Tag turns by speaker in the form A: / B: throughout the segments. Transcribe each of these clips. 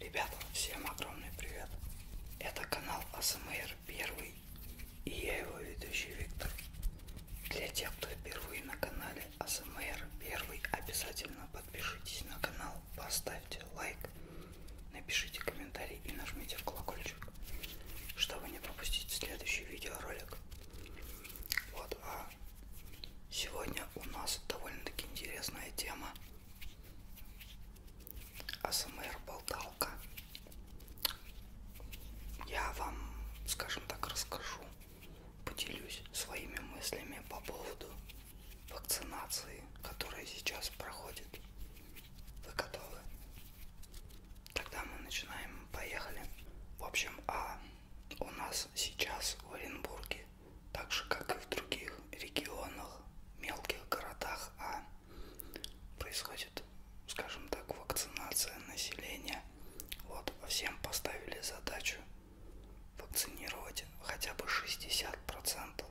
A: Ребята, всем огромный привет! Это канал АСМР Первый и я его ведущий Виктор. Для тех, кто впервые на канале АСМР Первый, обязательно подпишитесь на канал, поставьте лайк, Напишите комментарий и нажмите в колокольчик, чтобы не пропустить следующий видеоролик. Вот, а сегодня у нас довольно-таки интересная тема. АСМР-болталка. Я вам, скажем так, расскажу, поделюсь своими мыслями по поводу вакцинации, которая сейчас проходит вы готовы? Тогда мы начинаем. Поехали. В общем, а у нас сейчас в Оренбурге, так же как и в других регионах, мелких городах, а происходит, скажем так, вакцинация населения. Вот, всем поставили задачу вакцинировать хотя бы 60%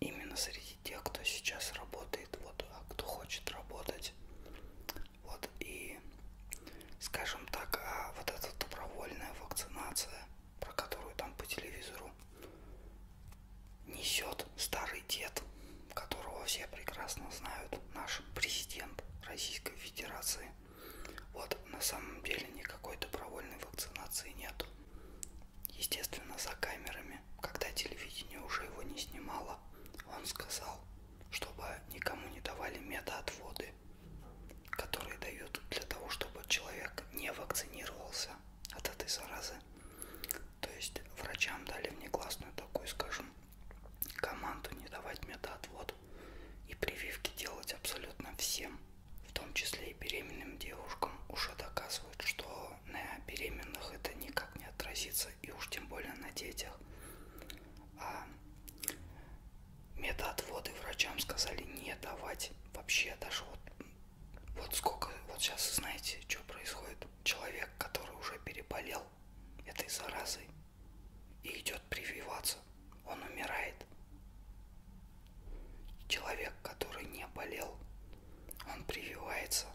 A: именно среди тех, кто сейчас работает, вот, а кто хочет работать, вот, и, скажем так, а вот эта добровольная вакцинация, про которую там по телевизору несет старый дед, которого все прекрасно знают, наш президент Российской Федерации, вот, на самом деле никакой добровольной вакцинации нету. Естественно, за камерами, когда телевидение уже его не снимало, он сказал, чтобы никому не давали метаотводы, которые дают для того, чтобы человек не вакцинировался от этой заразы. То есть врачам дали внегласную такую, скажем, команду не давать метаотвод и прививки делать абсолютно всем в том числе и беременным девушкам, уже доказывают, что на беременных это никак не отразится, и уж тем более на детях. А медотводы врачам сказали не давать вообще даже вот вот сколько, вот сейчас знаете, что происходит? Человек, который уже переболел этой заразой и идет прививаться, он умирает. Человек, который не болел, он прививается.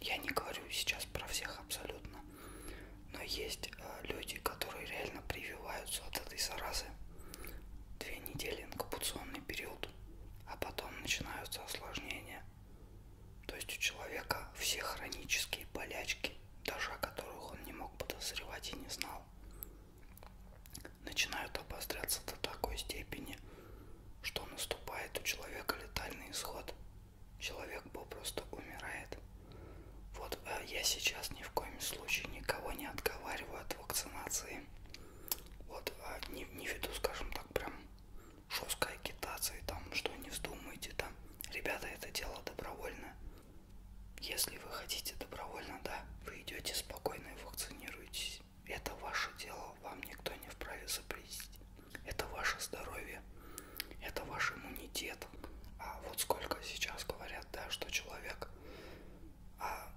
A: Я не говорю сейчас про всех абсолютно, но есть э, люди, которые реально прививаются от этой заразы. Две недели инкубационный период, а потом начинаются осложнения. То есть у человека все хронические болячки, даже о которых он не мог подозревать и не знал начинают обостряться до такой степени, что наступает у человека летальный исход. Человек попросту умирает. Вот э, я сейчас ни в коем случае никого не отговариваю от вакцинации. Вот а, не, не веду, скажем так, прям жесткой агитации, там, что не вздумайте, там. Ребята, это дело добровольно. Если вы хотите добровольно, да, вы идете спокойно и вакцинируетесь делать. Это ваше дело, вам никто не вправе запретить. Это ваше здоровье, это ваш иммунитет. А вот сколько сейчас говорят, да, что человек, а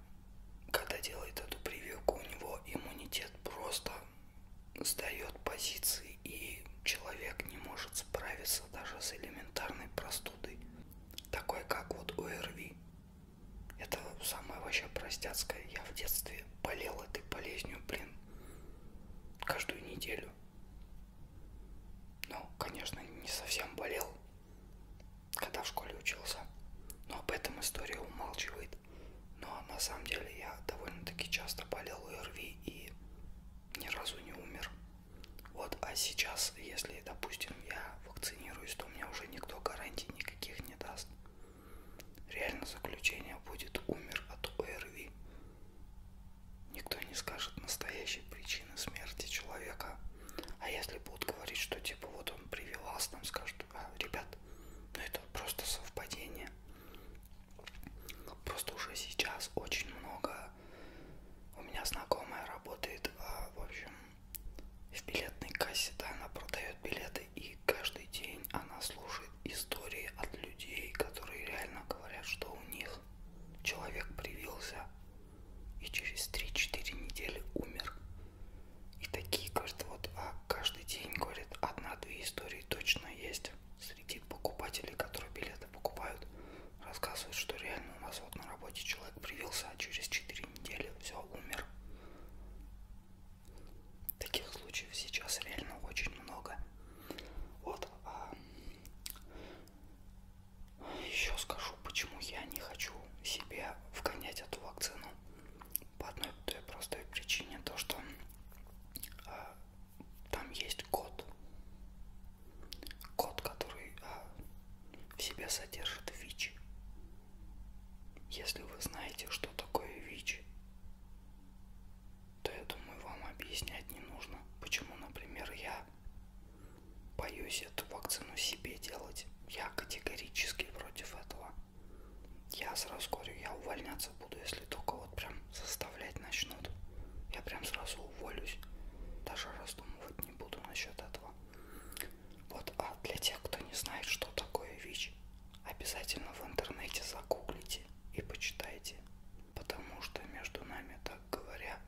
A: когда делает эту прививку, у него иммунитет просто сдает позиции, и человек не может справиться даже с элементарной простудой, такой как вот ОРВИ. Это самое вообще простяцкое. Я в детстве болел этой болезнью, блин, каждую неделю. Ну, конечно, не совсем болел, когда в школе учился. Но об этом история умалчивает. Но на самом деле я довольно-таки часто болел ОРВИ и ни разу не умер. Вот, а сейчас, если, допустим, я вакцинируюсь, то мне уже никто гарантий никаких не даст. Реально заключение будет умер от ОРВИ. Никто не скажет настоящей причины смерти человека. А если будут говорить, что типа вот он привелась, там скажут, а, ребят, ну это просто совпадение. Просто уже сейчас очень много... У меня знакомая работает, а, в общем, в билетной кассе, да, она продает билеты, и каждый день она слушает истории от людей, которые реально говорят, что у них человек привился и через 3-4 недели умер. И такие, говорит, вот а каждый день, говорит, одна-две истории точно есть среди покупателей, которые билеты покупают. Рассказывают, что реально у нас вот на работе человек привился, а через 4 недели все, умер. Таких случаев сейчас реально очень много. Вот. А... Еще скажу, почему я не хочу себе вгонять эту вакцину. По одной той простой причине, то что а, там есть код. Код, который а, в себе содержит ВИЧ. Если вы знаете, что такое ВИЧ, то я думаю, вам объяснять не нужно, почему, например, я боюсь эту вакцину себе делать. Я категорически против этого. Я сразу говорю, я увольняться буду, если только вот прям заставлять начнут. Я прям сразу уволюсь. Даже раздумывать не буду насчет этого. Вот, а для тех, кто не знает, что такое ВИЧ, обязательно в интернете загуглите и почитайте. Потому что между нами, так говоря,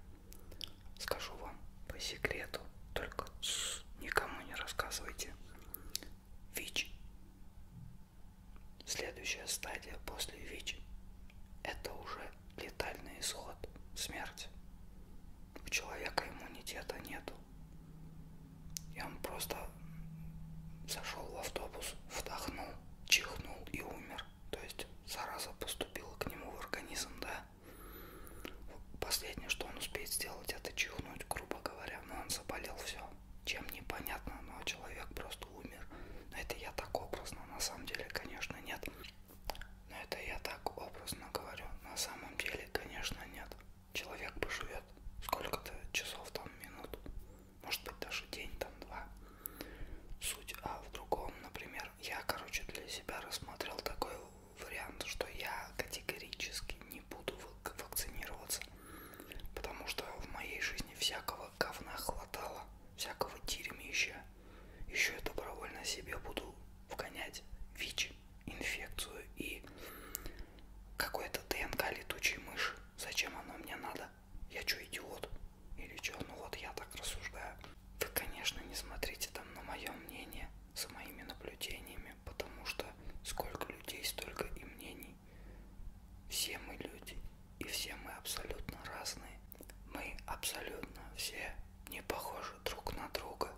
A: скажу вам по секрету, только никому не рассказывайте. ВИЧ. Следующая стадия после ВИЧ – это уже летальный исход, смерть у человека иммунитета нету. И он просто зашел в автобус, вдохнул, чихнул и умер. То есть зараза поступила к нему в организм, да. Последнее, что он успеет сделать, это чихнуть, грубо говоря. Но он заболел все. Чем непонятно, но человек просто умер. Но это я так образно, на самом деле, конечно, нет. Но это я так образно говорю. На самом деле, конечно, нет человек поживет сколько-то часов, там, минут, может быть, даже день, там, два. Суть а в другом, например, я, короче, для себя рассмотрел такой вариант, что я категорически не буду вакцинироваться, потому что в моей жизни всякого говна хватало, всякого дерьмища. Еще я добровольно себе буду вгонять ВИЧ инфекцию и какой-то ДНК летучей мыши. Зачем оно мне надо? Я что, идиот? Или что? Ну вот я так рассуждаю. Вы, конечно, не смотрите там на мое мнение с моими наблюдениями, потому что сколько людей, столько и мнений. Все мы люди, и все мы абсолютно разные. Мы абсолютно все не похожи друг на друга.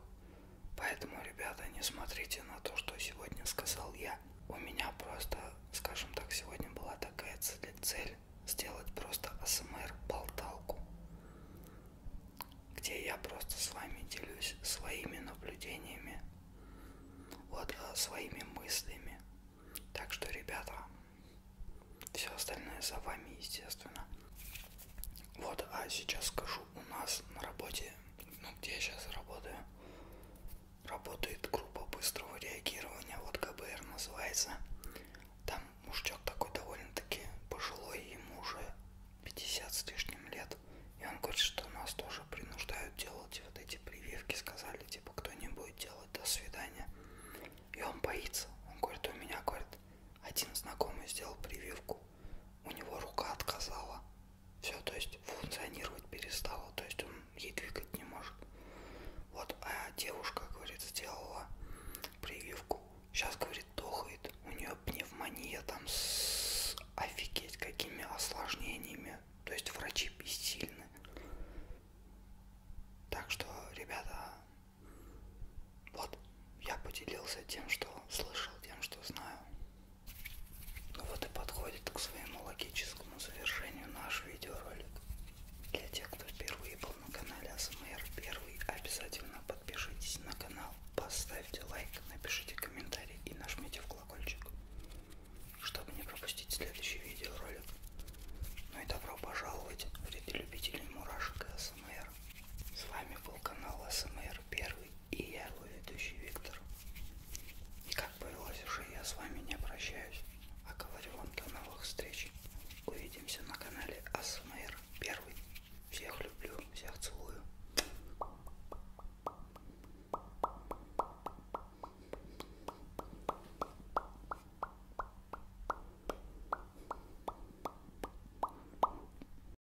A: Поэтому, ребята, не смотрите на то, что сегодня сказал я. У меня просто, скажем так, сегодня была такая цель сделать просто АСМР-болталку, где я просто с вами делюсь своими наблюдениями, вот э, своими мыслями. Так что, ребята, все остальное за вами, естественно. Вот, а сейчас скажу у нас на работе, ну где я сейчас работаю, работает группа быстрого реагирования, вот КБР называется. Там мужичок такой довольно-таки пожилой, ему уже 50 с лишним лет. И он говорит, что нас тоже принуждают делать вот эти прививки, сказали, типа, кто не будет делать, до свидания. И он боится. Он говорит, у меня, говорит, один знакомый сделал прививку, у него рука отказала. Все, то есть функционировать перестала, то есть он ей двигать не может. Вот, а девушка, говорит, сделала прививку. Сейчас, говорит, дохает. У нее пневмония там с офигеть какими осложнениями. То есть врачи бессильны. Так что, ребята, вот я поделился тем, что слышал, тем, что знаю. Ну вот и подходит к своему логическому завершению наш видеоролик. Для тех, кто впервые был на канале АСМР первый, обязательно подпишитесь на канал, поставьте лайк, напишите комментарий и нажмите в колокольчик, чтобы не пропустить следующий видеоролик. Ну и добро пожаловать в ряды любителей мурашек и АСМР. С вами был канал АСМР первый. И я его ведущий Виктор. И как повелось уже, я с вами не прощаюсь, а говорю вам до новых встреч. Увидимся на канале АСМР Первый. Всех люблю, всех целую.